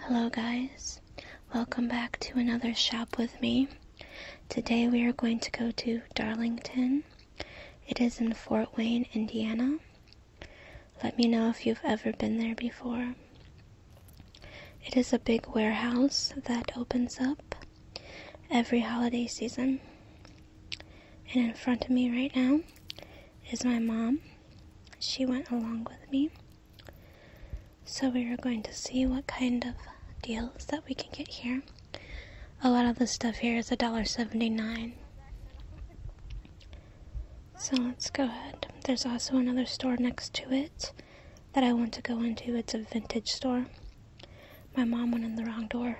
Hello guys, welcome back to another shop with me. Today we are going to go to Darlington. It is in Fort Wayne, Indiana. Let me know if you've ever been there before. It is a big warehouse that opens up every holiday season. And in front of me right now is my mom she went along with me. So we were going to see what kind of deals that we can get here. A lot of the stuff here a dollar seventy-nine. So let's go ahead. There's also another store next to it that I want to go into. It's a vintage store. My mom went in the wrong door.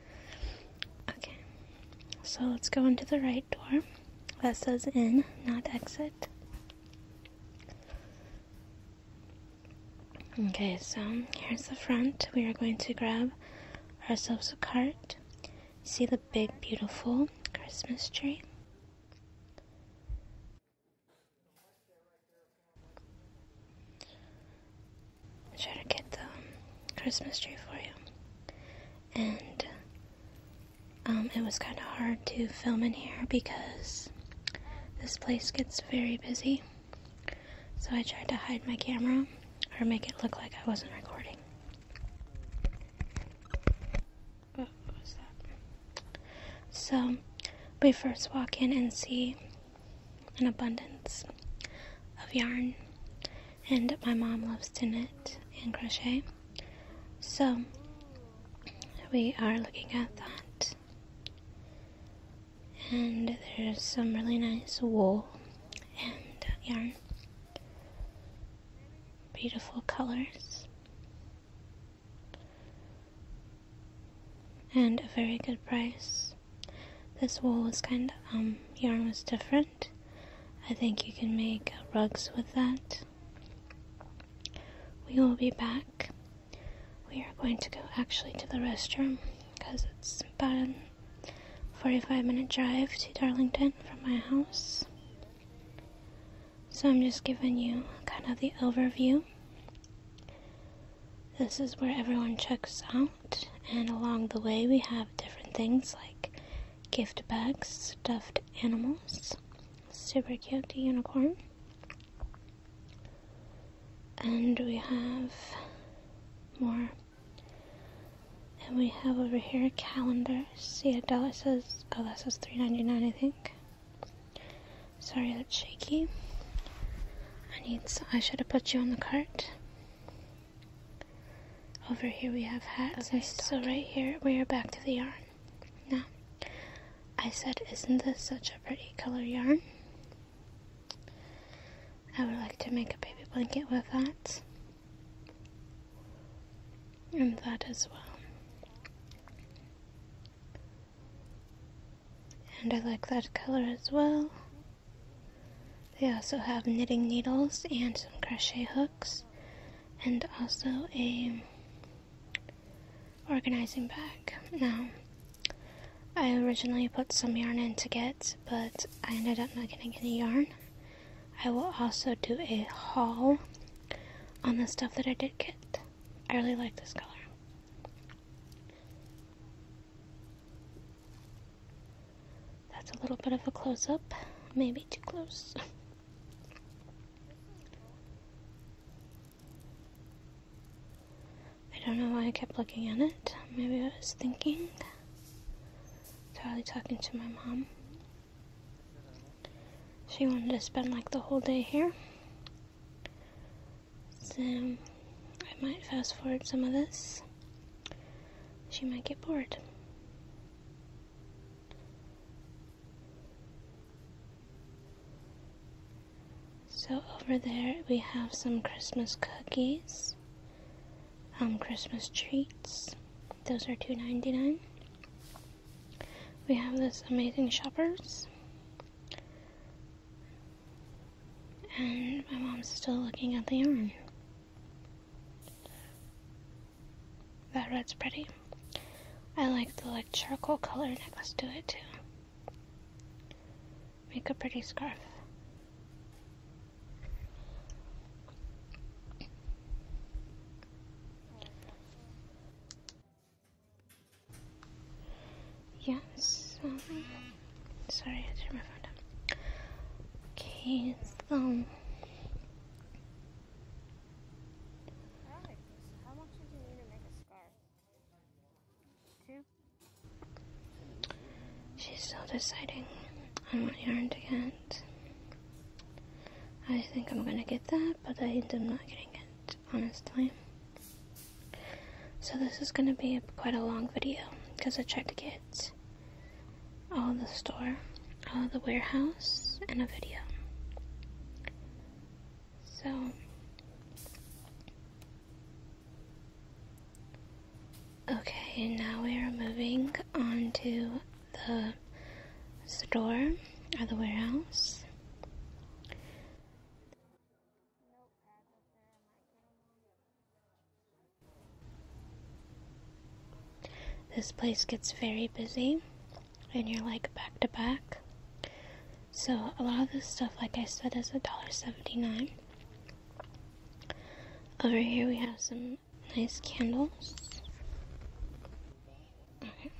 okay. So let's go into the right door that says in, not exit. Okay, so here's the front. We are going to grab ourselves a cart. See the big, beautiful Christmas tree. i get the Christmas tree for you. And um, it was kind of hard to film in here because this place gets very busy. So I tried to hide my camera or make it look like I wasn't recording. So we first walk in and see an abundance of yarn and my mom loves to knit and crochet. So we are looking at that. And there's some really nice wool and yarn. Beautiful colors. And a very good price. This wool was kind of, um, yarn was different. I think you can make rugs with that. We will be back. We are going to go actually to the restroom because it's about a 45 minute drive to Darlington from my house. So I'm just giving you kind of the overview. This is where everyone checks out, and along the way, we have different things like gift bags, stuffed animals, super cute unicorn, and we have more. And we have over here a calendar. See, Yeah, dollar says oh that says three ninety nine I think. Sorry that's shaky. I need I should have put you on the cart. Over here we have hats. so right here we are back to the yarn. Now, I said, isn't this such a pretty color yarn? I would like to make a baby blanket with that. And that as well. And I like that color as well. They also have knitting needles and some crochet hooks and also a organizing bag. Now, I originally put some yarn in to get, but I ended up not getting any yarn. I will also do a haul on the stuff that I did get. I really like this color. That's a little bit of a close up, maybe too close. I don't know why I kept looking at it. Maybe I was thinking. Charlie talking to my mom. She wanted to spend like the whole day here. So I might fast forward some of this. She might get bored. So over there we have some Christmas cookies, um, Christmas treats. Those are two ninety nine. We have this amazing shoppers. And my mom's still looking at the yarn. That red's pretty. I like the like charcoal color necklace to it too. Make a pretty scarf. Yes. sorry, I turned my phone down. Okay, so. Um, Right. How much did you need to make a scarf? Two? She's still deciding on what yarn to get. I think I'm gonna get that, but I am not getting it, honestly. So this is gonna be quite a long video, because I tried to get at all the store, all the warehouse, and a video. So, okay, and now we are moving on to the store or the warehouse. This place gets very busy and you're like back to back. So a lot of this stuff, like I said, is a dollar seventy-nine. Over here we have some nice candles. Okay.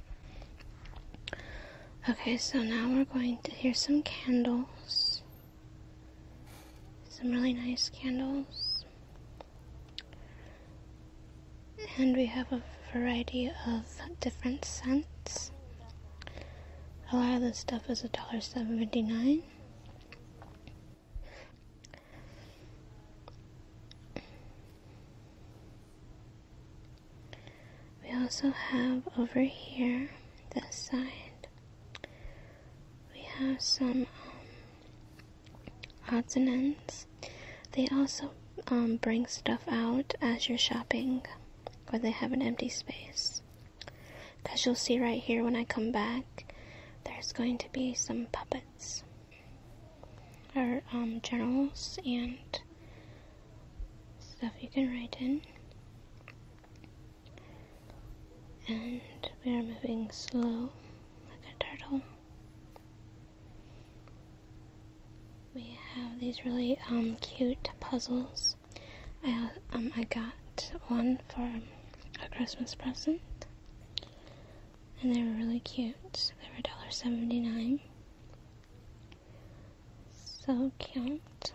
Okay, so now we're going to here's some candles. Some really nice candles and we have a variety of different scents. A lot of this stuff is $1.79. We also have over here, this side, we have some um, odds and ends. They also um, bring stuff out as you're shopping or they have an empty space. Because you'll see right here when I come back, there's going to be some puppets or um, journals and stuff you can write in. And we are moving slow like a turtle. We have these really um, cute puzzles. I, um, I got one for a Christmas present. And they were really cute. They were $1.79. So cute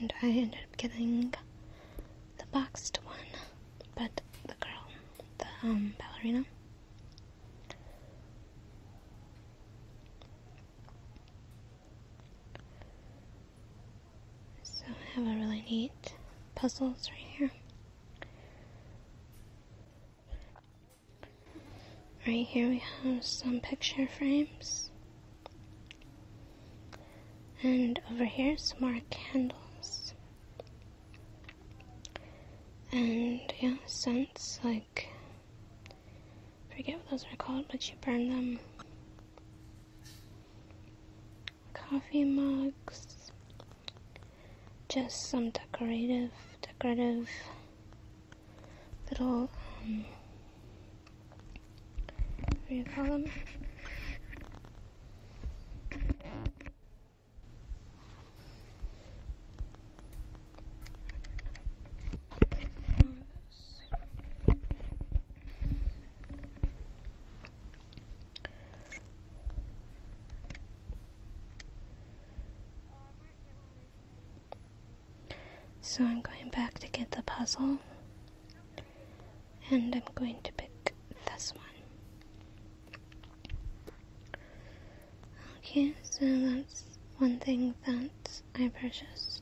and I ended up getting the boxed one, but the girl, the um, ballerina. So I have a really neat puzzles right here. Right here we have some picture frames. And over here, some more candles. And yeah, scents like forget what those are called, but you burn them. Coffee mugs. Just some decorative, decorative little um, so I'm going back to get the puzzle and I'm going to pick this one. Okay, so that's one thing that I purchased.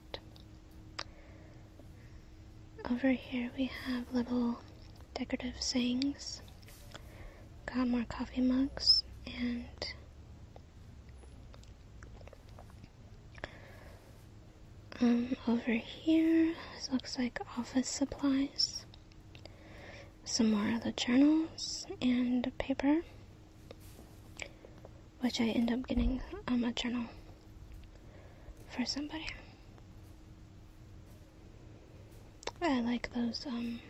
Over here we have little decorative sayings. Got more coffee mugs and um, over here, this looks like office supplies. Some more of the journals and paper, which I end up getting um, a journal for somebody. I like those um,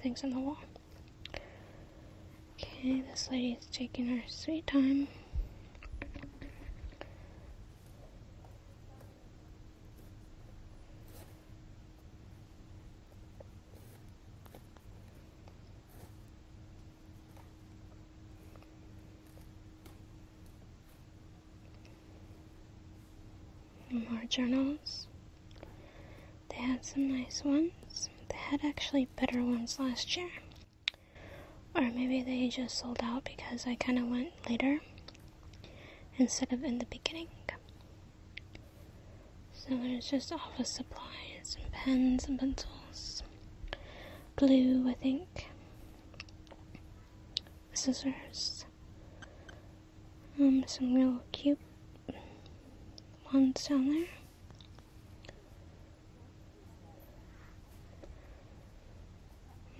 things on the wall. Okay, this lady is taking her sweet time more journals. They had some nice ones. They had actually better ones last year. Or maybe they just sold out because I kind of went later instead of in the beginning. So there's just office supplies and pens and pencils, glue, I think, scissors, um, some real cute ones down there.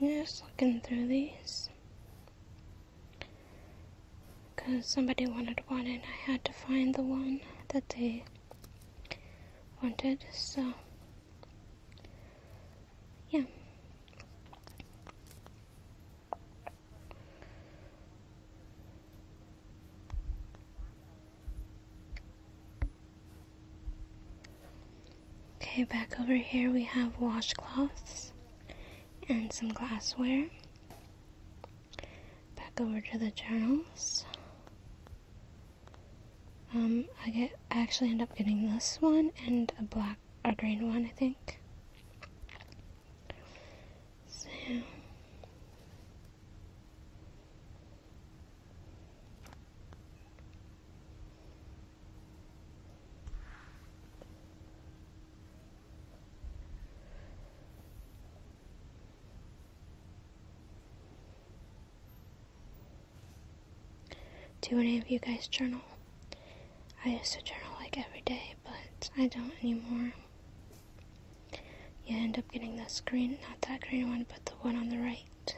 I'm just looking through these because somebody wanted one and I had to find the one that they wanted, so yeah. Okay, back over here we have washcloths and some glassware. Back over to the journals. Um, I get I actually end up getting this one and a black a green one, I think. So do any of you guys journal? I used to journal like every day, but I don't anymore. You end up getting the green, not that green one, but the one on the right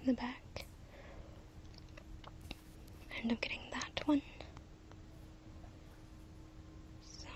in the back. end up getting that one. So.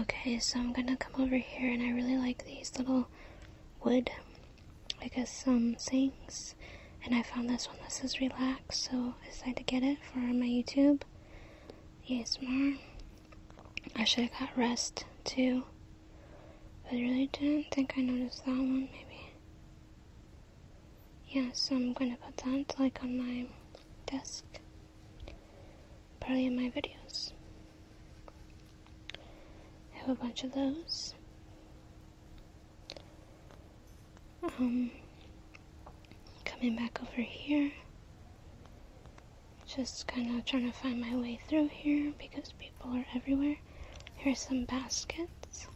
Okay, so I'm gonna come over here and I really like these little wood because some sings, and I found this one that says relax, so I decided to get it for my YouTube. ASMR. I should have got rest too, but I really didn't think I noticed that one, maybe. Yeah, so I'm going to put that like on my desk, probably in my videos. have a bunch of those. Um, coming back over here. Just kind of trying to find my way through here because people are everywhere. Here's some baskets.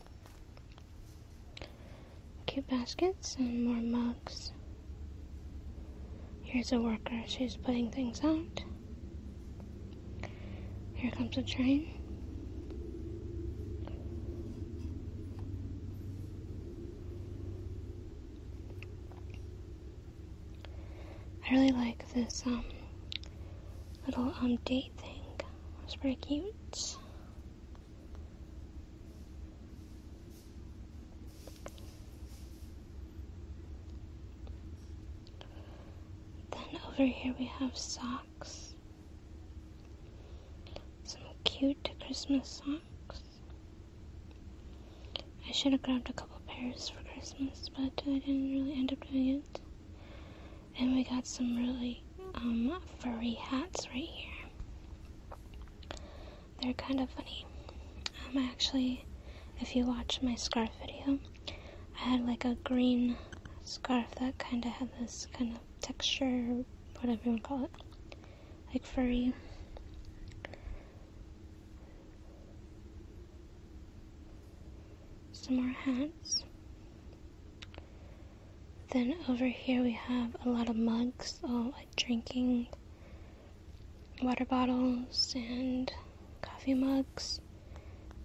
Cute baskets and more mugs. Here's a worker. She's putting things out. Here comes a train. I really like this um, little um, date thing. It's pretty cute. Then over here we have socks. Some cute Christmas socks. I should have grabbed a couple pairs for Christmas, but I didn't really end up doing it. And we got some really um, furry hats right here. They're kind of funny. Um, I actually, if you watch my scarf video, I had like a green scarf that kind of had this kind of texture, whatever you want to call it, like furry. Some more hats. Then over here we have a lot of mugs, all like drinking water bottles and coffee mugs,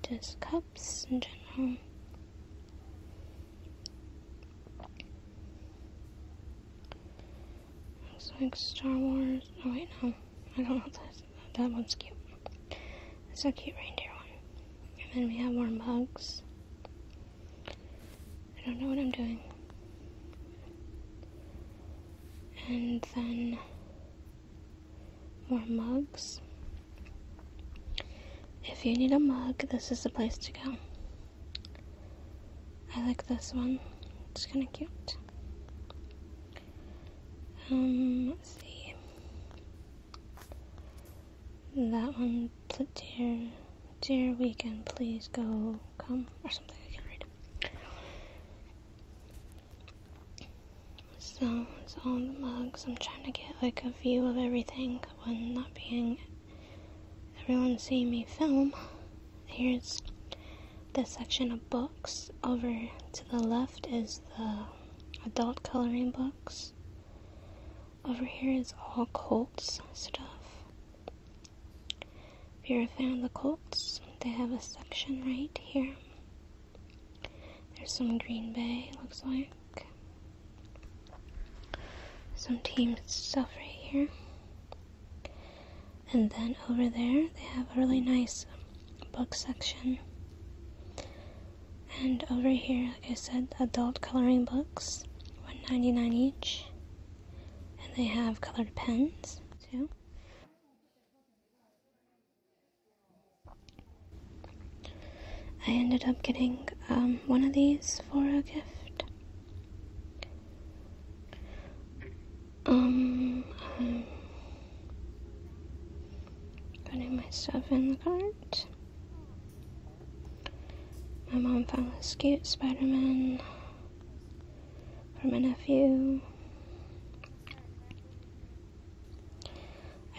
just cups in general. Looks like Star Wars. Oh wait, no, I don't know that. That one's cute. It's a cute reindeer one. And then we have more mugs. I don't know what I'm doing. And then more mugs. If you need a mug, this is the place to go. I like this one. It's kind of cute. Um, see. That one, dear, dear weekend, please go come or something. I can't read. So it's all the mugs. I'm trying to get like a view of everything one not being everyone seeing me film, here's the section of books. Over to the left is the adult coloring books. Over here is all Colts stuff. If you're a fan of the Colts, they have a section right here. There's some Green Bay, looks like some team stuff right here. And then over there, they have a really nice book section. And over here, it said adult coloring books, $1.99 each. And they have colored pens too. I ended up getting um, one of these for a gift. Um, putting my stuff in the cart. My mom found this cute Spider Man for my nephew.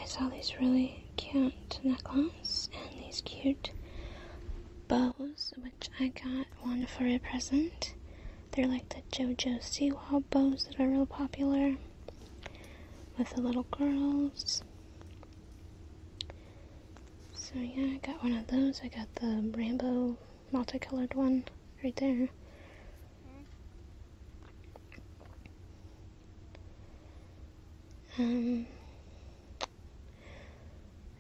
I saw these really cute necklaces and these cute bows, which I got one for a present. They're like the JoJo Siwa bows that are real popular with the little girls. So yeah, I got one of those. I got the rainbow multicolored one right there. Um,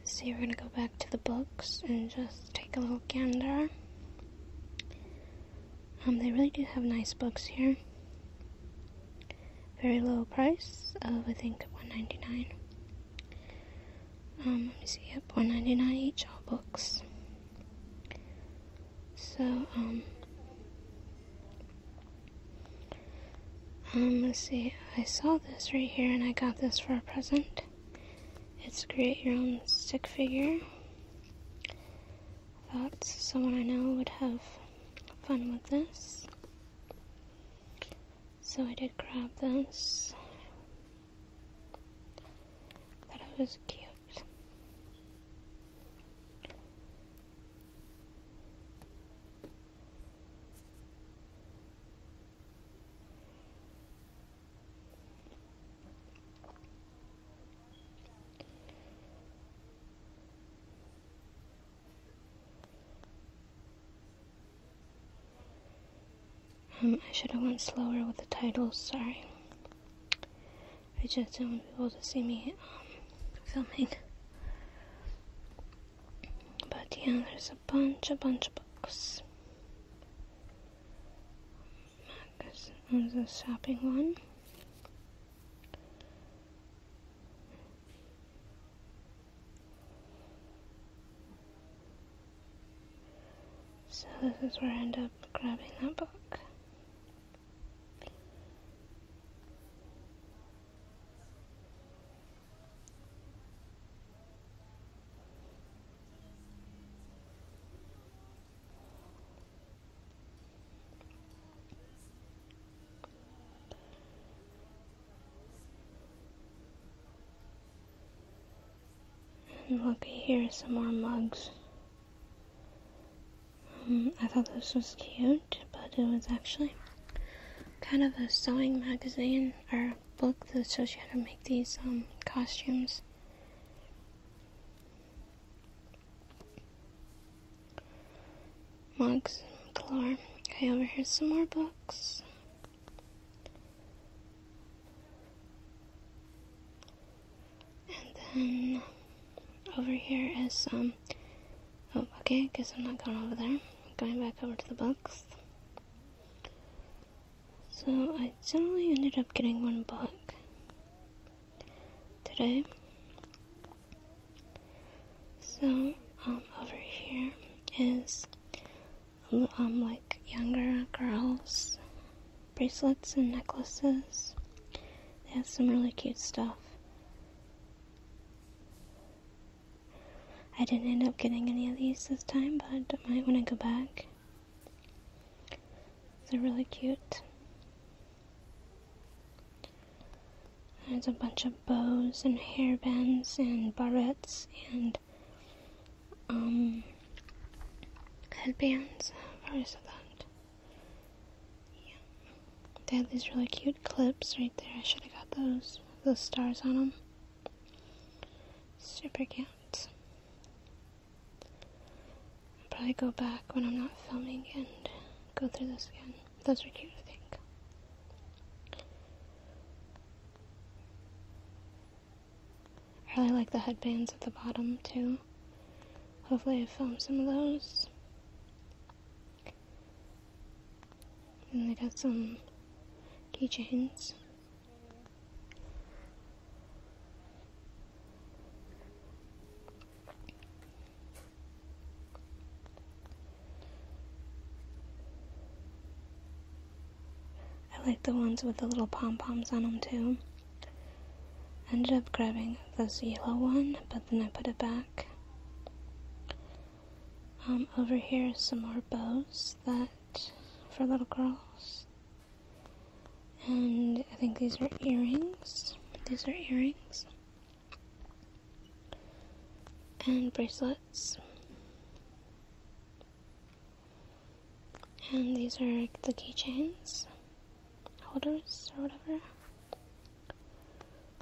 so we're gonna go back to the books and just take a little gander. Um, they really do have nice books here. Very low price of I think one ninety nine. Um, let me see, yep, one ninety nine each, all books. So um, um, let's see. I saw this right here and I got this for a present. It's create your own stick figure. Thought someone I know would have fun with this. So I did grab this. Thought it was cute. Um, I should have went slower with the titles, sorry. I just don't want people to see me um, filming. But yeah, there's a bunch, a bunch of books. Magazine was a shopping one. So this is where I end up grabbing that book. And look, here some more mugs. I thought this was cute, but it was actually kind of a sewing magazine or book that shows you how to make these um, costumes. Mugs galore. Okay, over here's some more books. And then over here is Um, oh, okay, guess I'm not going over there. going back over to the books. So I generally ended up getting one book today. So um, over here is um like younger girls bracelets and necklaces. They have some really cute stuff. I didn't end up getting any of these this time, but I might want to go back. They're really cute. There's a bunch of bows and hairbands and barrettes and um, headbands. Where is have already that. They had these really cute clips right there. I should have got those. Those stars on them. Super cute. I'll probably go back when I'm not filming and go through this again. Those were cute, I think. I really like the headbands at the bottom too. Hopefully I filmed some of those. And it has some keychains. I like the ones with the little pom poms on them too. I ended up grabbing this yellow one, but then I put it back back. Um, over here is some more bows that for little girls. And I think these are earrings. These are earrings. And bracelets. And these are the keychains, holders, or whatever.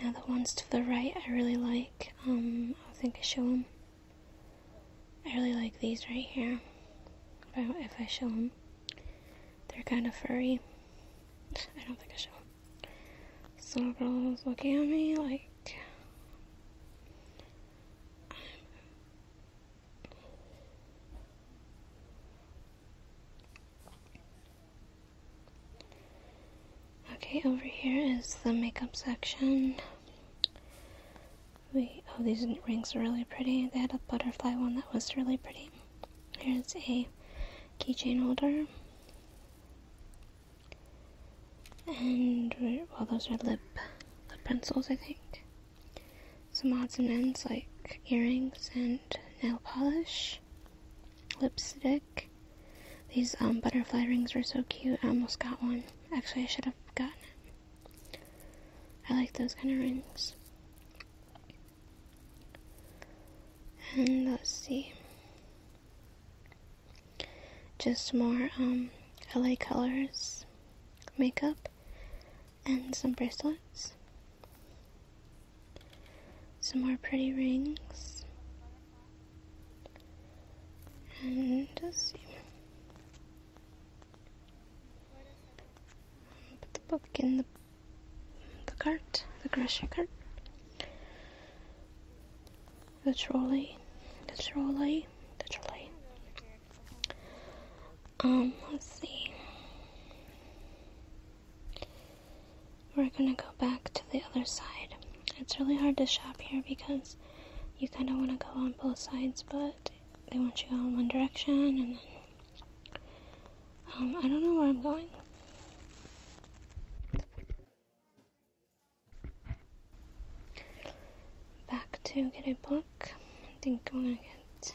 Now the ones to the right I really like. Um, I think I show them. I really like these right here. if I show them, they're kind of furry. I don't think I show them. This little looking at me like. Okay, over here is the makeup section. We oh these rings are really pretty. They had a butterfly one that was really pretty. Here's a keychain holder. And well those are lip lip pencils I think some odds and ends like earrings and nail polish, lipstick. These um, butterfly rings were so cute. I almost got one. Actually, I should have gotten it. I like those kind of rings. And let's see. Just more um, LA Colors makeup and some bracelets. Some more pretty rings. And let's see. Put the book in the, the cart, the grocery cart. The trolley, the trolley, the trolley. Um, let's see. We're gonna go back to the other side. It's really hard to shop here because you kind of want to go on both sides, but they want you to go in one direction, and then um, I don't know where I'm going. Back to get a book. I think I'm gonna get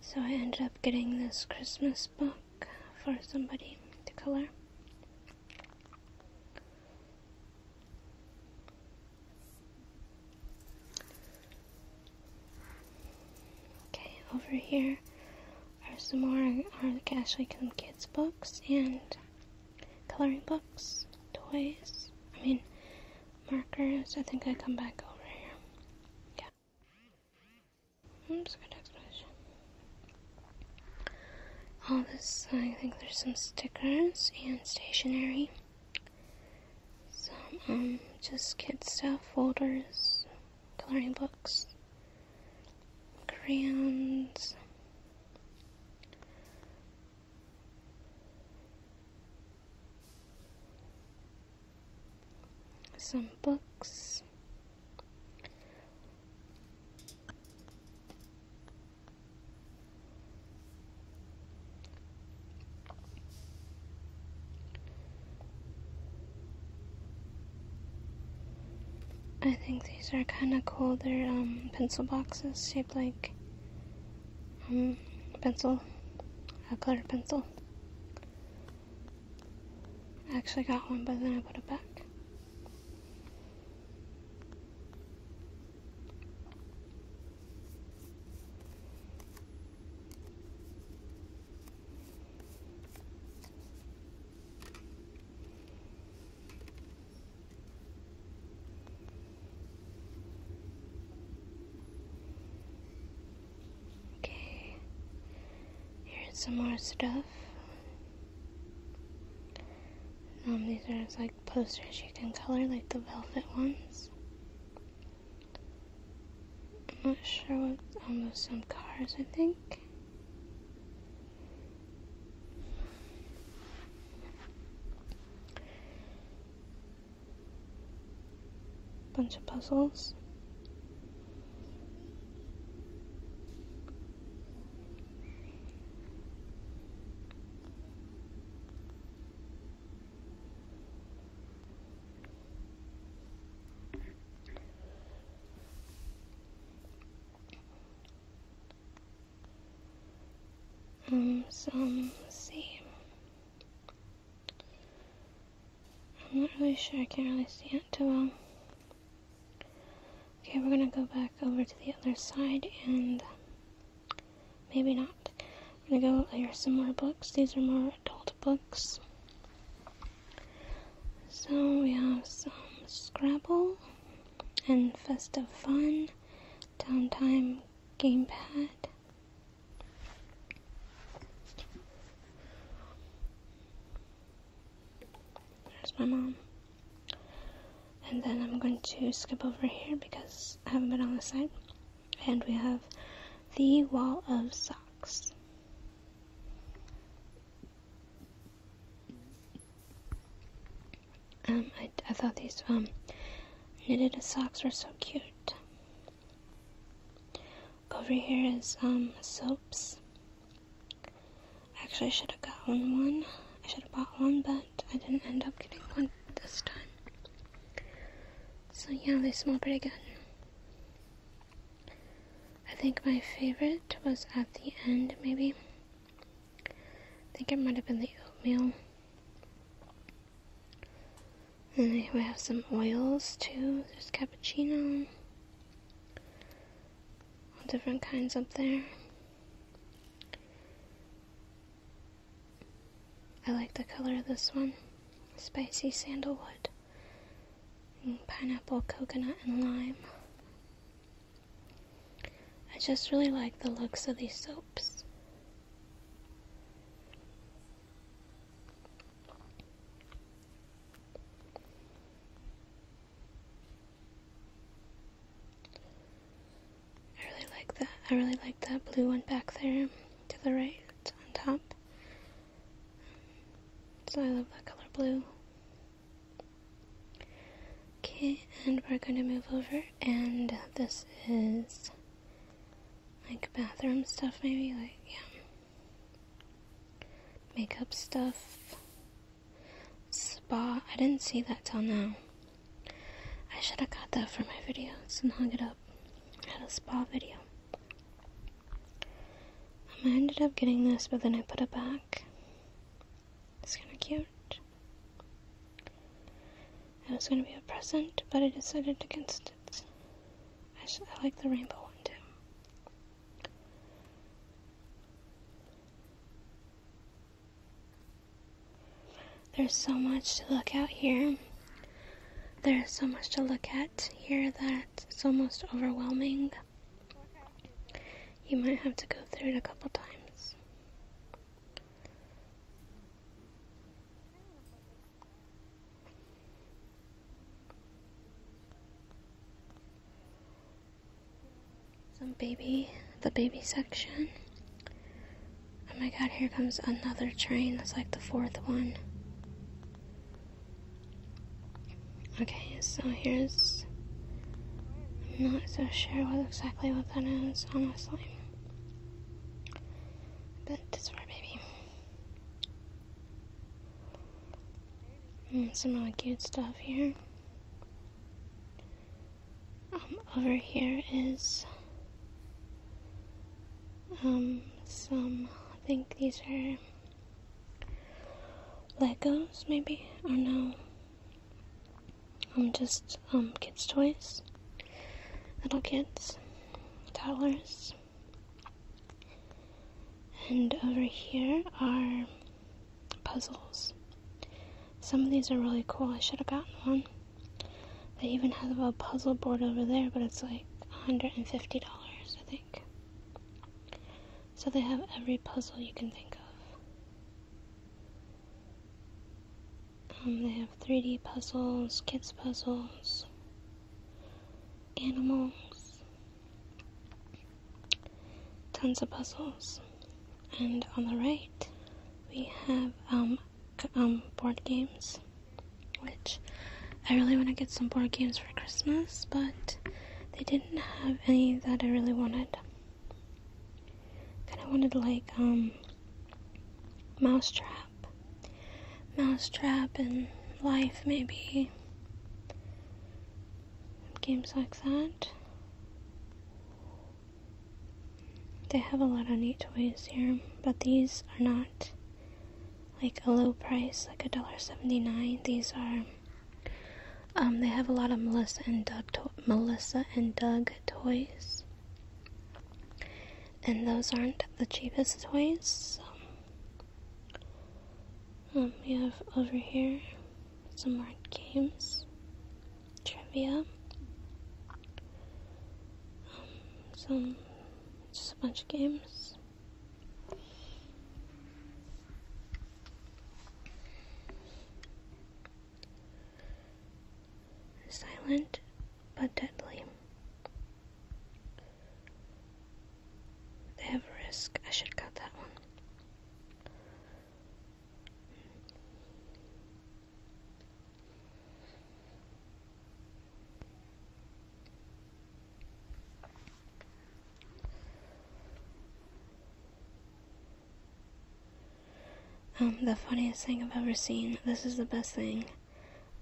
So I ended up getting this Christmas book for somebody to color. Okay, over here are some more Arc Ashley Come Kids books and coloring books, toys. I mean, markers. I think I come back over here. Yeah. Oops, good explanation. All this, I think there's some stickers and stationery. Some, um, just kid stuff, folders, coloring books, crayons, some books. I think these are kind of cool. They're um, pencil boxes shaped like um, pencil, a colored pencil. I actually got one, but then I put it back. Okay, here's some more stuff. Um, these are like posters you can color, like the velvet ones. I'm not sure what, um, some cars, I think bunch of puzzles. Um, so, let I'm not really sure, I can't really see it too well. Okay, we're gonna go back over to the other side and maybe not. I'm gonna go, here. some more books. These are more adult books. So we have some Scrabble and Festive Fun, Downtime game pad. There's my mom. And then I'm going to skip over here because I haven't been on this side. And we have the wall of socks. Um, I, I thought these um, knitted socks were so cute. Over here is um soaps. Actually, I should have gotten one. I should have bought one, but I didn't end up getting one this time. So yeah, they smell pretty good. I think my favorite was at the end, maybe. I think it might have been the oatmeal. And we have some oils too. There's cappuccino. All different kinds up there. I like the color of this one. Spicy sandalwood. pineapple, coconut, and lime. I just really like the looks of these soaps. I really like that. I really like that blue one back there to the right on top. So I love that color blue. Okay, and we're going to move over and this is like bathroom stuff, maybe, like, yeah, makeup stuff, spa. I didn't see that till now. I should have got that for my videos and hung it up. I had a spa video. Um, I ended up getting this, but then I put it back. It's kind of cute. It was going to be a present, but I decided against it. I, like the rainbow one too. There's so much to look out here. There's so much to look at here that it's almost overwhelming. You might have to go through it a couple times. Some baby, the baby section. Oh my god, here comes another train. That's like the fourth one. Okay, so here's. I'm not so sure what exactly what that is, honestly. That's right, baby. some really cute stuff here. Um, over here is um some. I think these are Legos, maybe I don't know. I'm um, just kids, um, kids' toys, little kids, toddlers. And over here are puzzles. Some of these are really cool. I should have gotten one. They even have a puzzle board over there, but it's like $150, I think. So they have every puzzle you can think of. Um, they have 3D puzzles, kids puzzles, animals, tons of puzzles. And on the right, we have um, um board games, which I really want to get some board games for Christmas, but they didn't have any that I really wanted. Kind of wanted like um mousetrap. Mousetrap and life, maybe. Games like that. They have a lot of neat toys here, but these are not like a low price, like a dollar seventy nine. These are um, they have a lot of Melissa and Doug Melissa and Doug toys and those aren't the cheapest toys. So. Um, um, we have over here some more games, trivia, um, some just a bunch of games. Silent but deadly. They I should cut that one. Um, the funniest thing I've ever seen. This is the best thing.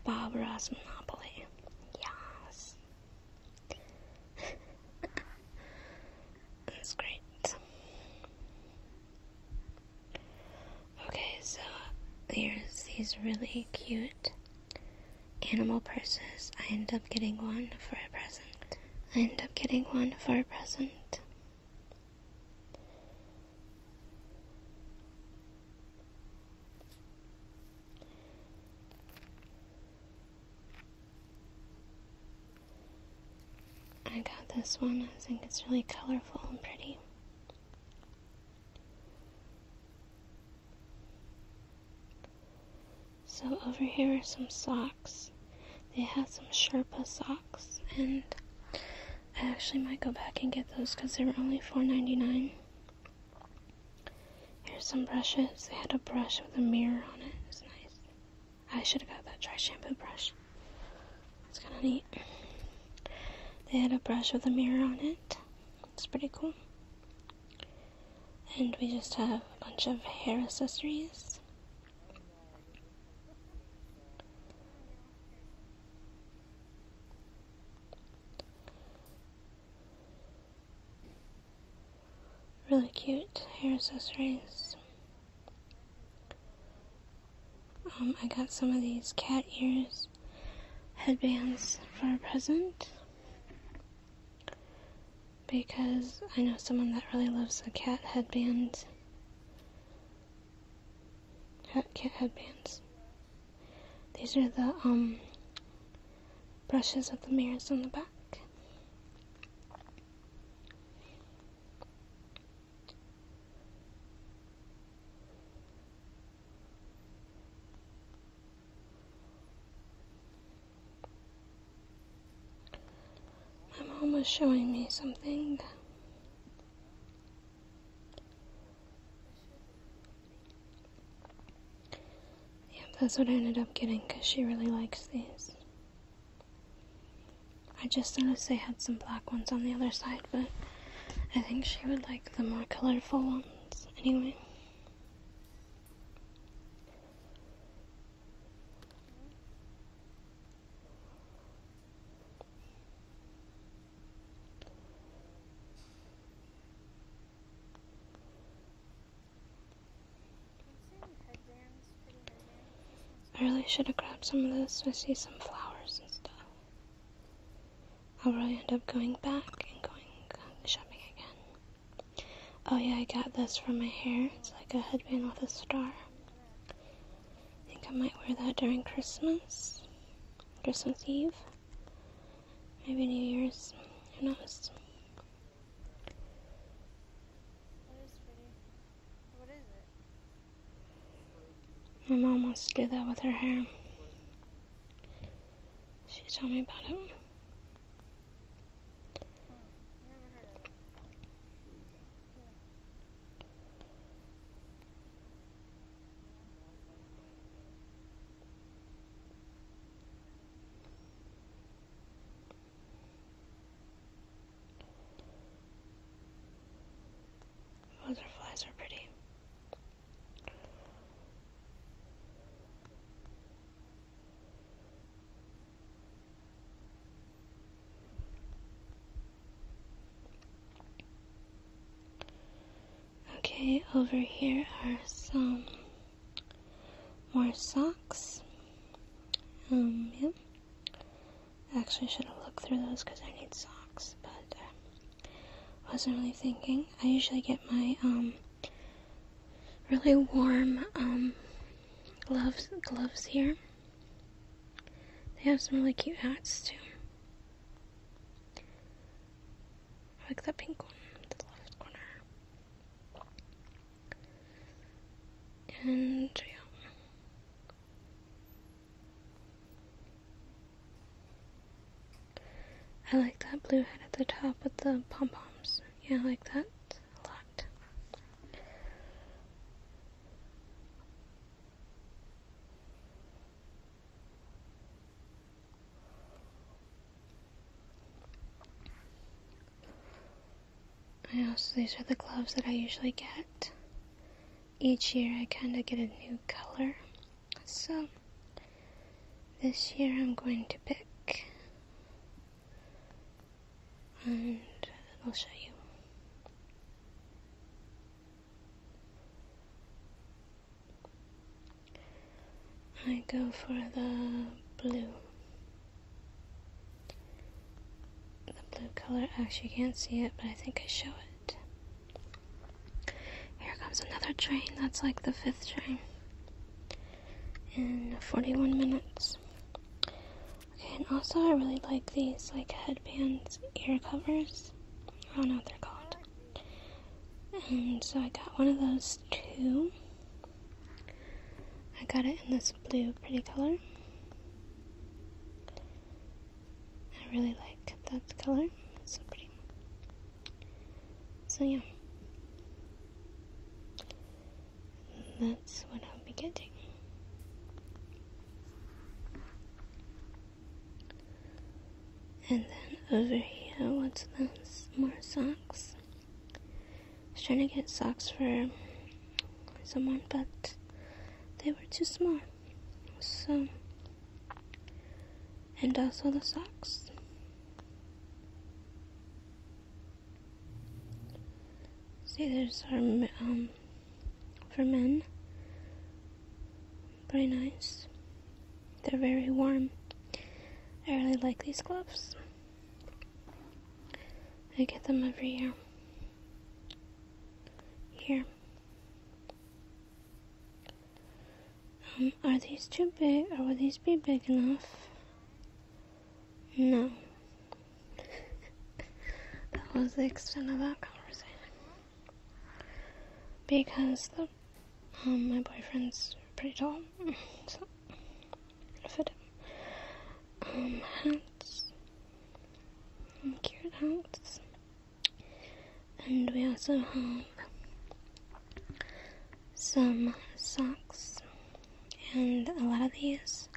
Barbara's Monopoly. Yes. That's great. Okay, so here's these really cute animal purses. I end up getting one for a present. I end up getting one for a present. I got this one. I think it's really colorful and pretty. So over here are some socks. They have some Sherpa socks and I actually might go back and get those because they were only $4.99. Here's some brushes. They had a brush with a mirror on it. It's nice. I should have got that dry shampoo brush. It's kind of neat. They had a brush with a mirror on it. It's pretty cool. And we just have a bunch of hair accessories. Really cute hair accessories. Um, I got some of these cat ears headbands for a present because I know someone that really loves a cat headband kit headbands. These are the um, brushes of the mirrors on the back. My mom was showing me something yeah, that's what I ended up getting because she really likes these. I just noticed they had some black ones on the other side, but I think she would like the more colorful ones anyway. I really should have grabbed some of this. I see some flowers and stuff. I'll probably end up going back and going um, shopping again. Oh yeah, I got this for my hair. It's like a headband with a star. I think I might wear that during Christmas. Christmas Eve, maybe New Year's, who knows? My mom wants to do that with her hair. She told me about it. Butterflies are pretty. Okay, over here are some more socks. Um, yeah. actually should have looked through those because I need socks, but uh, wasn't really thinking. I usually get my um, really warm um, gloves gloves here. They have some really cute hats too. I like that pink one the left corner. And yeah. I like that blue head at the top with the pom poms. Yeah, I like that a lot. Yeah, so these are the gloves that I usually get. Each year I kind of get a new color. So this year I'm going to pick and I'll show you. I go for the blue. The blue color, actually, you can't see it, but I think I show it. Here comes another train, that's like the fifth train. In 41 minutes. Okay, and also I really like these, like headbands, ear covers. I don't know what they're called. And so I got one of those too. I got it in this blue pretty color. I really like that color. It's so pretty. So yeah. that's what I'll be getting. And then over here, what's this? More socks. I was trying to get socks for someone, but they were too small. So, and also the socks. See, there's our um, for men. Very nice. They're very warm. I really like these gloves. I get them every year. Here. Um, are these too big? Or will these be big enough? No. that was the extent of that conversation because um, my boyfriend's pretty tall, so I um, hats, um, hats, and we also have some socks, and a lot of these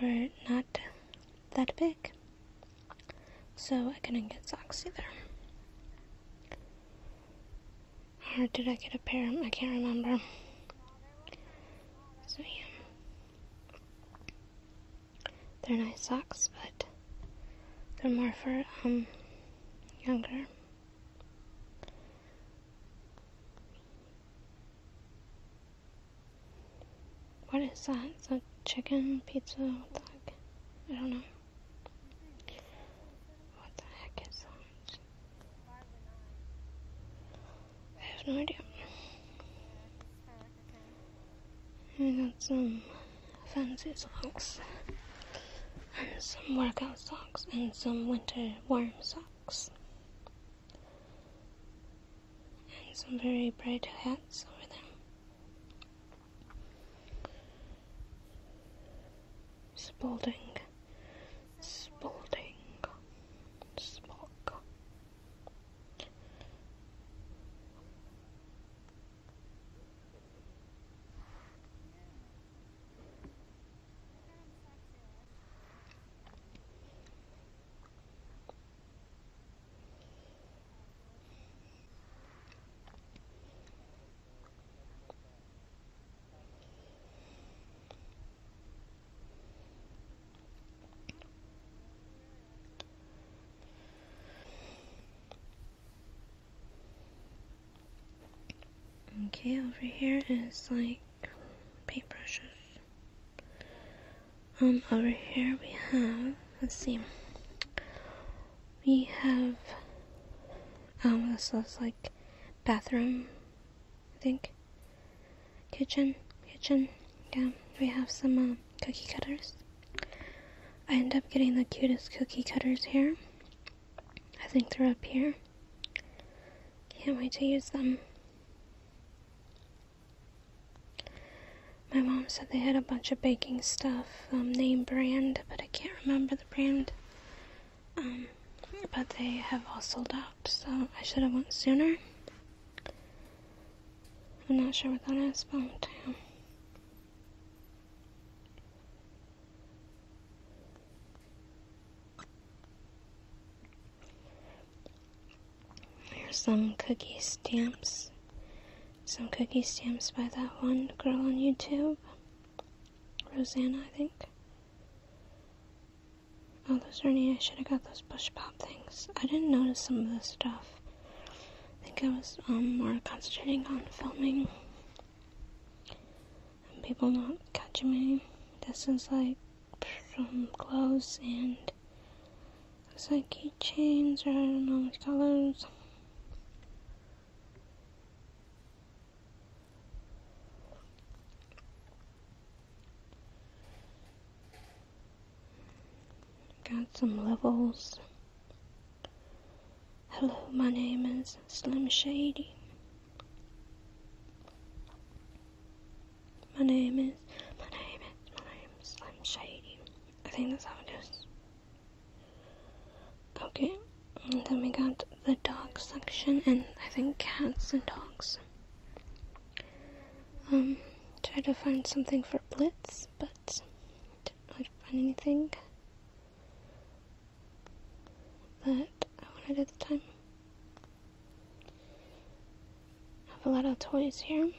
were not that big. So I couldn't get socks either. Or did I get a pair? I can't remember. So yeah. They're nice socks, but they're more for um younger. What is that? Is that chicken, pizza, I don't know. What the heck is that? I have no idea. I got some fancy socks. And some workout socks and some winter warm socks. And some very bright hats over them. Spalding, Spalding, Spock. Okay, over here is like paintbrushes. Um, over here we have, let's see, we have, um, this looks like bathroom, I think. Kitchen, kitchen, yeah. We have some um, cookie cutters. I end up getting the cutest cookie cutters here. I think they're up here. Can't wait to use them. My mom said they had a bunch of baking stuff, um, name brand, but I can't remember the brand. Um, but they have all sold out, so I should have went sooner. I'm not sure what that is, but damn. Here's some cookie stamps some cookie stamps by that one girl on YouTube. Rosanna, I think. Oh, those are neat. I should have got those Bush pop things. I didn't notice some of the stuff. I think I was um, more concentrating on filming and people not catching me. This is like some clothes and Looks like keychains all mom's colors. Got some levels. Hello, my name is Slim Shady. My name is, my name is, my name Slim Shady. I think that's how it goes. Okay, then we got the dog section, and I think cats and dogs. Um, tried to find something for Blitz, but didn't really find anything that I wanted at the time. I have a lot of toys here.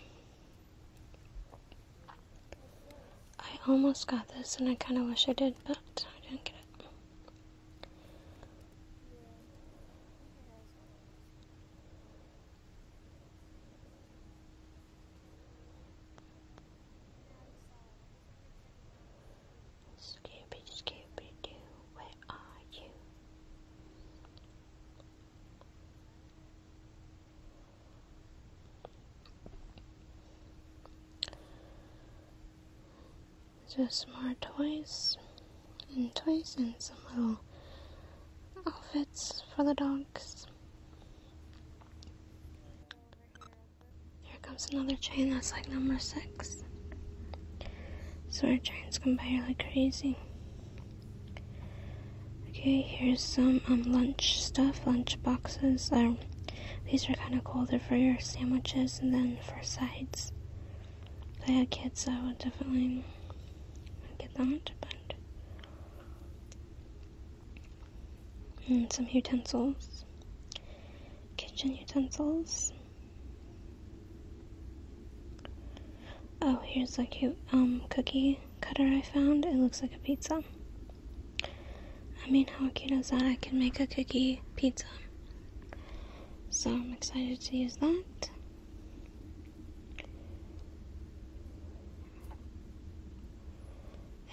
I almost got this and I kind of wish I did, but I didn't get it. Scooby, Scooby Doo, where are you? Just more toys and toys and some little outfits for the dogs. Here comes another chain that's like number six. So our chains can buy like crazy. Okay, here's some um, lunch stuff, lunch boxes. Um, these are kind of cool. They're for your sandwiches and then for sides. If I had kids, I would definitely get them to bend. And some utensils, kitchen utensils. Oh, here's a cute um, cookie cutter I found. It looks like a pizza. I mean, how cute is that? I can make a cookie pizza. So I'm excited to use that.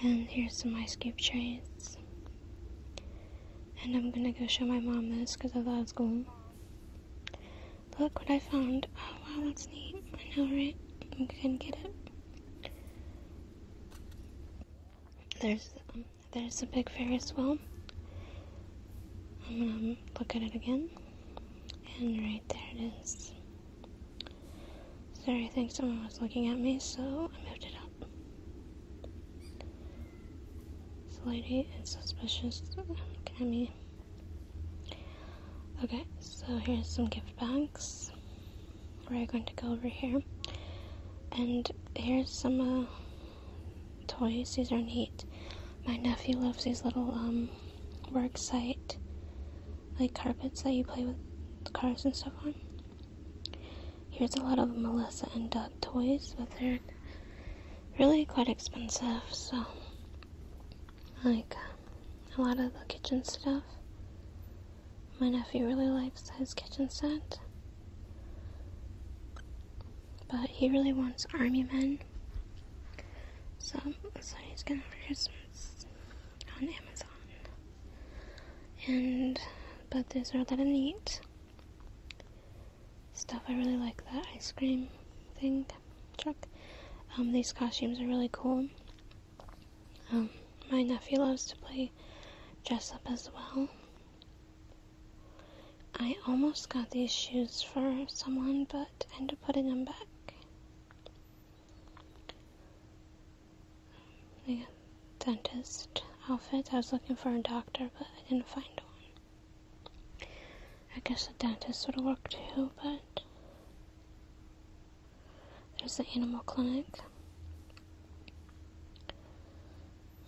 And here's some ice cube trays. And I'm gonna go show my mom this because I thought it was cool. Look what I found. Oh wow, that's neat. I know, right? You can get it. There's um, there's a big Ferris wheel. I'm gonna look at it again, and right there it is. Sorry, I think someone was looking at me, so I moved it up. Slightly, lady suspicious looking at me. Okay, so here's some gift bags. We're going to go over here. And here's some uh, toys. These are neat. My nephew loves these little um, work site, like carpets that you play with cars and stuff on. Here's a lot of Melissa and Doug toys, but they're really quite expensive, so like a lot of the kitchen stuff. My nephew really likes his kitchen set, but he really wants army men. So that's so what he's getting for Christmas on Amazon. And but there's a lot of neat stuff. I really like that ice cream thing truck. Um, these costumes are really cool my nephew loves to play dress up as well. I almost got these shoes for someone, but ended up putting them back. I got dentist outfit. I was looking for a doctor, but I didn't find one. I guess a dentist would work too, but there's the animal clinic.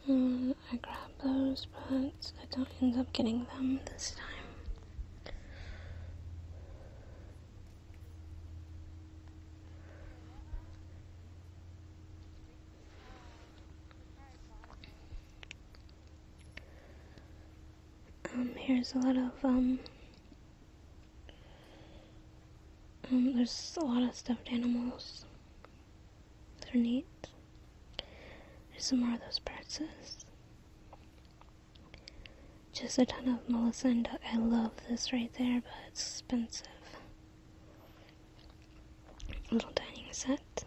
Mm, I grabbed those, but I don't end up getting them this time. Um, here's a lot of um, um, there's a lot of stuffed animals. They're neat. There's some more of those purses. Just a ton of Melissa and Doug. I love this right there, but it's expensive. Little dining set.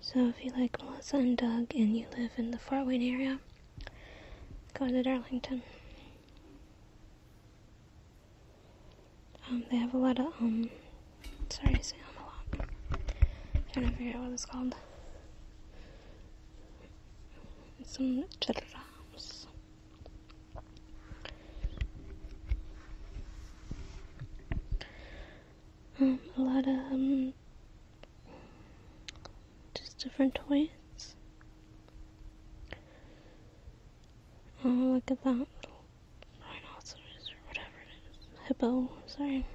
So if you like Melissa and Doug and you live in the Fort Wayne area, go to Darlington. Um, they have a lot of, um, sorry, I say a lot. am trying to figure out what it's called. Some drums. Um, a lot of, um, just different toys. Oh, look at that rhinoceros or whatever it is, hippo. Sorry,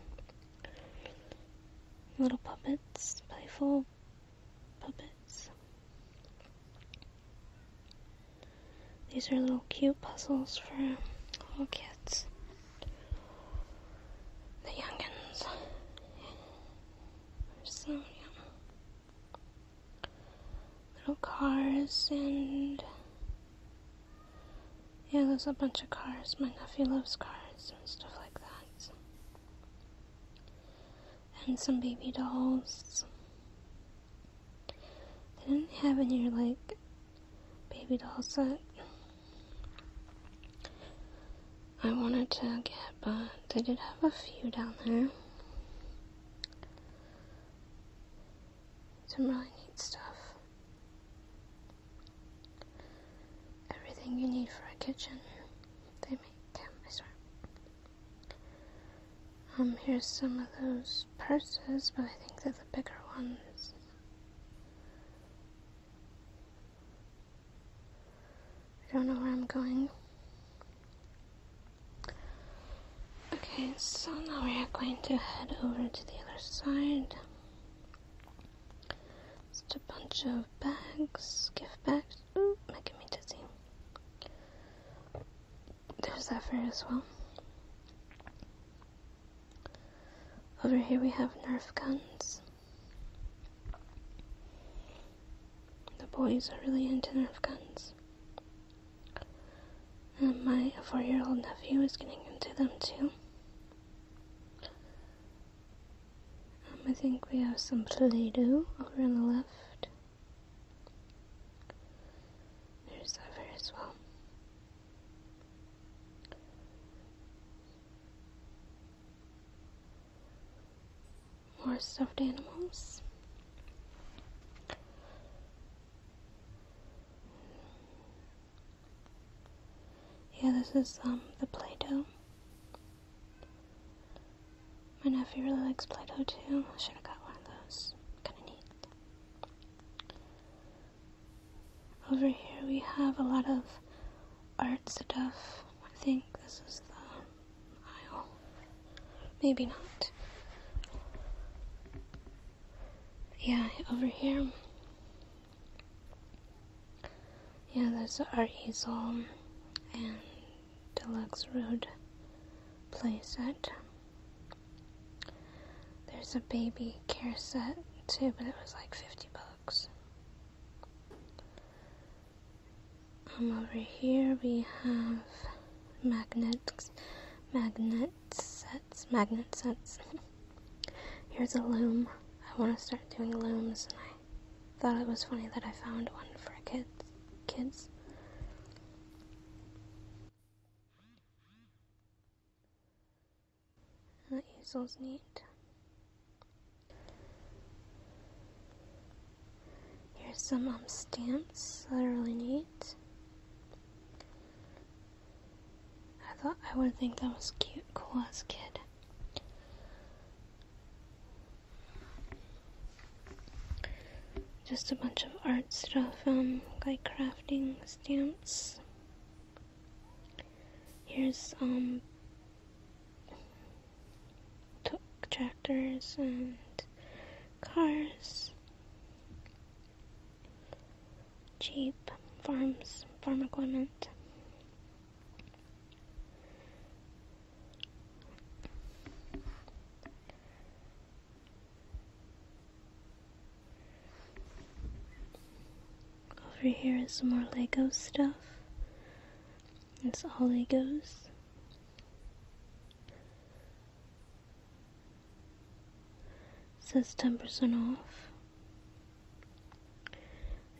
little puppets, playful puppets. These are little cute puzzles for little kids the youngins. little cars and yeah, there's a bunch of cars. My nephew loves cars and stuff like that. And some baby dolls. They didn't have any like baby dolls that I wanted to get, but they did have a few down there. Some really neat stuff. Everything you need for a kitchen, they make. I swear. Um, here's some of those purses, but I think they're the bigger ones. I don't know where I'm going. Okay, so now we are going to head over to the other side. Just a bunch of bags, gift bags. Oh, making me dizzy. There's that fairy as well. Over here we have Nerf guns. The boys are really into Nerf guns. And my four year old nephew is getting into them too. Um, I think we have some Play Doh over on the left. There's over as well more stuffed animals. Yeah, this is um the Play-Doh. My nephew really likes Play-Doh too. should have got one of those. Kinda neat. Over here we have a lot of art stuff. I think this is the aisle. Maybe not. Yeah, over here. Yeah, there's an art easel and deluxe road playset. There's a baby care set too, but it was like 50 bucks over here we have magnets magnet sets magnet sets here's a loom I want to start doing looms and I thought it was funny that I found one for kids kids That is so neat Here's some um, stamps that are really neat. I thought I would think that was cute, cool as kid. Just a bunch of art stuff, um, like crafting stamps. Here's um tractors and cars, cheap farms, farm equipment. Over here is some more Lego stuff. It's all Legos. says 10% off.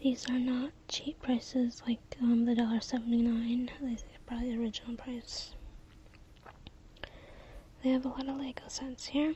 These are not cheap prices like um, the $1.79. These are probably the original price. They have a lot of Lego sets here.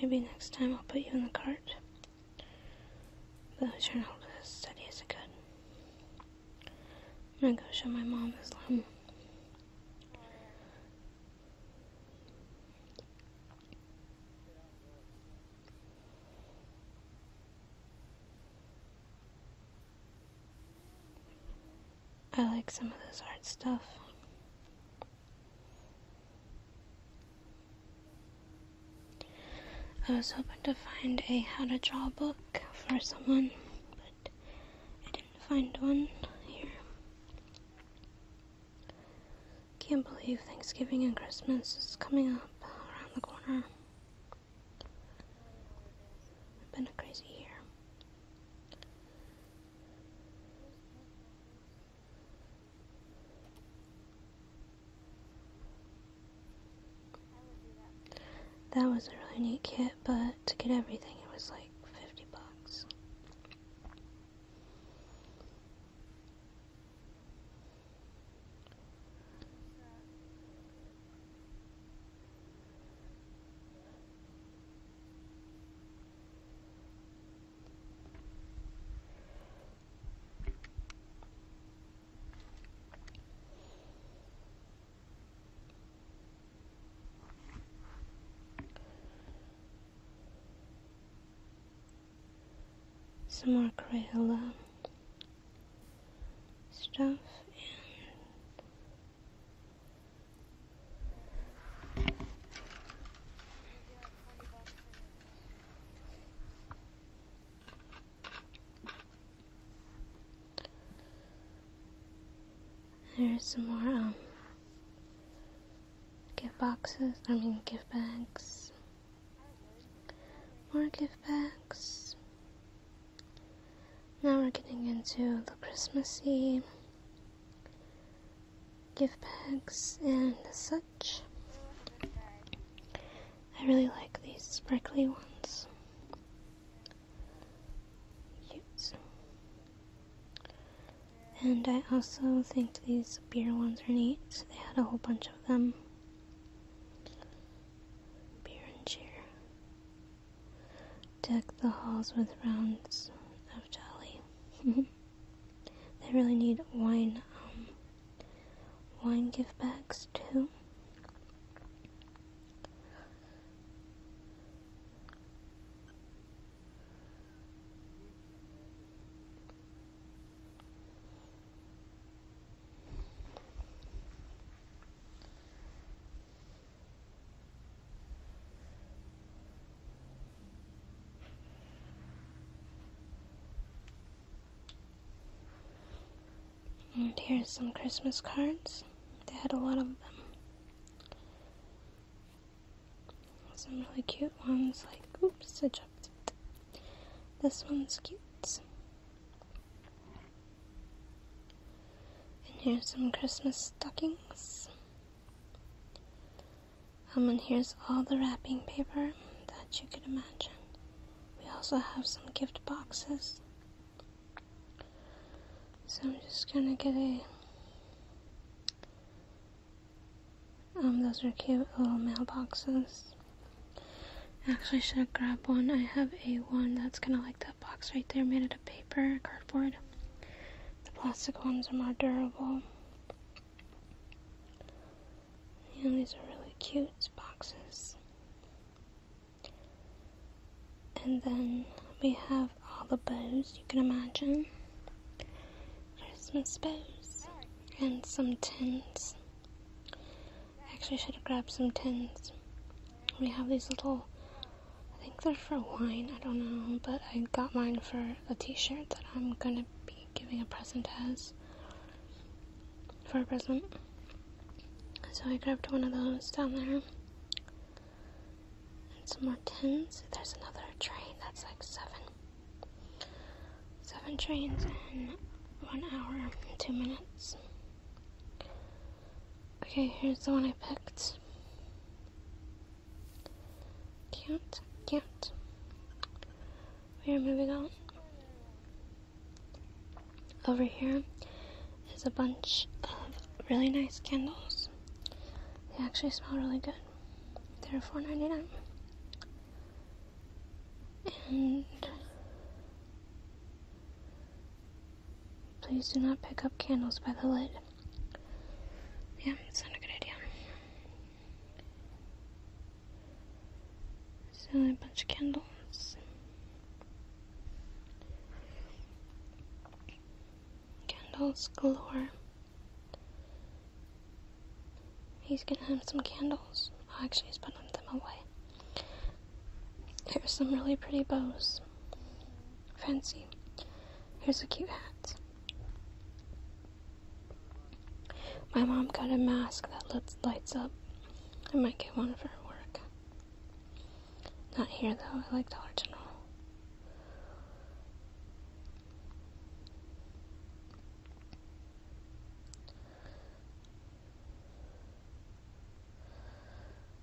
Maybe next time I'll put you in the cart. The journal is steady as it could. I'm gonna go show my mom this lemon. I like some of this art stuff. I was hoping to find a how to draw book for someone, but I didn't find one here. Can't believe Thanksgiving and Christmas is coming up around the corner. been a crazy year. That was a really neat kit, but to get everything it was like 50 bucks some more Crayola stuff and there's some more um, gift boxes, I mean gift bags. More gift bags. Now we're getting into the Christmassy gift bags and such. I really like these sparkly ones. Cute. And I also think these beer ones are neat. They had a whole bunch of them. Beer and cheer. Deck the halls with rounds of jolly. they really need wine, um, wine gift bags too. And here's some Christmas cards. They had a lot of them. Some really cute ones, like, oops, I jumped. This one's cute. And here's some Christmas stockings. Um, and here's all the wrapping paper that you could imagine. We also have some gift boxes. So I'm just gonna get a. Um, those are cute little mailboxes. Actually, should grab one. I have a one that's kind of like that box right there, made out of paper, cardboard. The plastic ones are more durable. these are really cute boxes. And then we have all the bows you can imagine. Christmas bows. And some tins. actually should have grabbed some tins. We have these little I think they're for wine, I don't know, but I got mine for a t shirt that I'm gonna be giving a present as for a present. So I grabbed one of those down there. And some more tins. There's another train that's like seven. Seven trains in one hour two minutes. Okay, here's the one I picked. Can't, can't. We are moving on. Over here is a bunch of really nice candles. They actually smell really good. They're four ninety nine. And please do not pick up candles by the lid. Yeah, it's not a good idea. So a bunch of candles. Candles glow. He's going him some candles. Oh, actually, he's putting them away. There's some really pretty bows fancy. Here's a cute hat. My mom got a mask that lets, lights up. I might get one for work. Not here though, I like the original.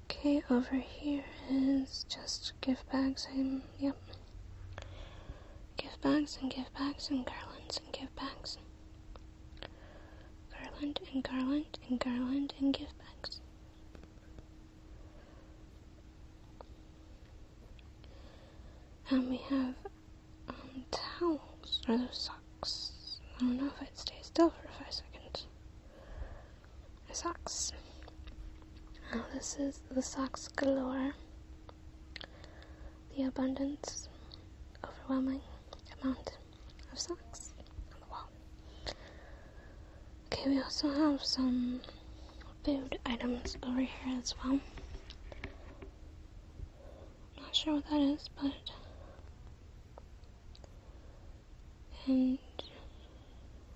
Okay, over here is just gift bags and, yep. gift bags and gift bags and garlands and gift bags. Garland and garland and garland and gift bags. And we have um, towels, or those socks. I don't know if I'd stay still for five seconds socks. Oh, this is the socks galore. The abundance, overwhelming amount of socks on the wall. Okay, we also have some food items over here as well. Not sure what that is, but and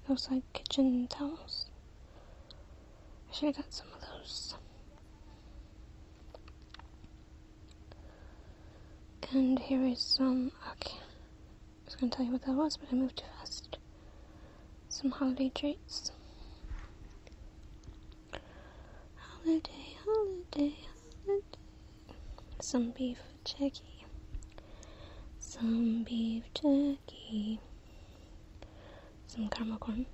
those like kitchen towels. I should have got some of those. And here is some, okay, I was going to tell you what that was, but I moved too fast. Some holiday treats. Holiday, holiday, holiday. Some beef jerky some beef jerky, some caramel corn.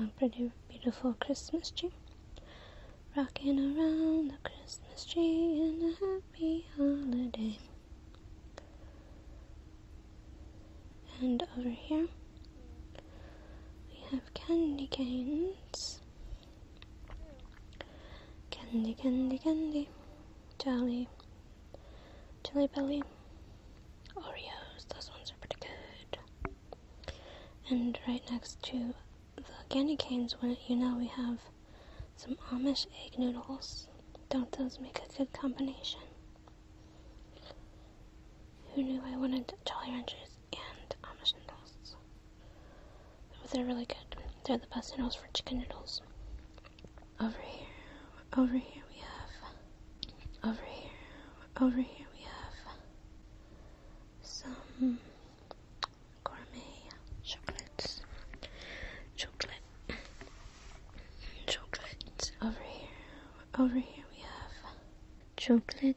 A pretty beautiful Christmas tree. Rocking around the Christmas tree and a happy holiday. And over here, we have candy canes. Candy, candy, candy. Jelly. Jelly belly. Oreos. Those ones are pretty good. And right next to the candy canes, you know, we have some Amish egg noodles. Don't those make a good combination? Who knew I wanted jelly wrenches and Amish noodles? But they're really good. They're the best noodles for chicken noodles. Over here, over here we have, over here, over here we have some gourmet chocolates. Chocolate, chocolate. Over here, over here we have chocolate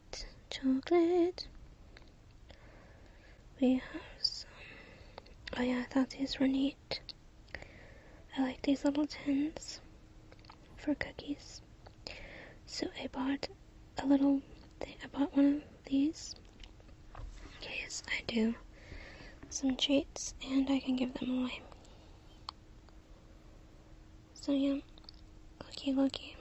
chocolate, We have some. Oh yeah, I thought these were neat. I like these little tins for cookies. So I bought a little thing. I bought one of these in case I do some treats and I can give them away. So yeah, lucky, lucky.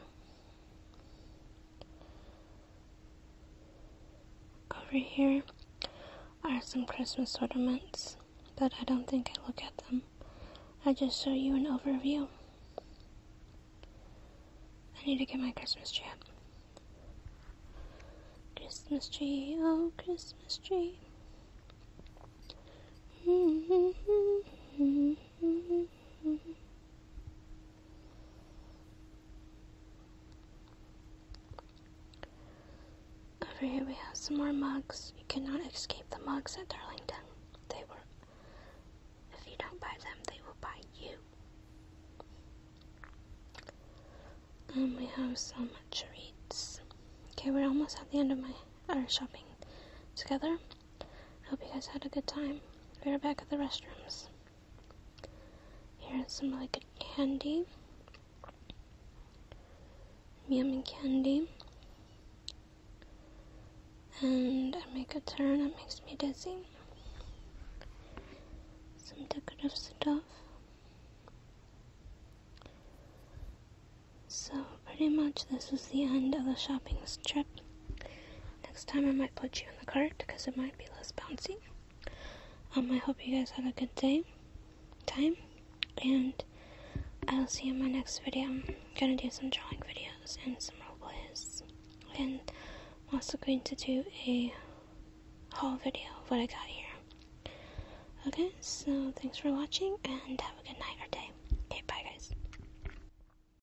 Over here are some Christmas ornaments, but I don't think I look at them. I just show you an overview. I need to get my Christmas tree Christmas tree, oh Christmas tree. Mm-hmm. Over here we have some more mugs. You cannot escape the mugs at Darlington. They were if you don't buy them, they will buy you. And um, we have some treats. Okay, we're almost at the end of my our shopping together. I hope you guys had a good time. We are back at the restrooms. Here's some really good candy. Yummy candy. And I make a turn, that makes me dizzy. Some decorative stuff. So, pretty much, this is the end of the shopping trip. Next time I might put you in the cart because it might be less bouncy. Um, I hope you guys had a good day, time, and I'll see you in my next video. I'm gonna do some drawing videos and some role plays, and I'm also going to do a haul video of what I got here. Okay, so thanks for watching and have a good night or day. Okay, bye guys.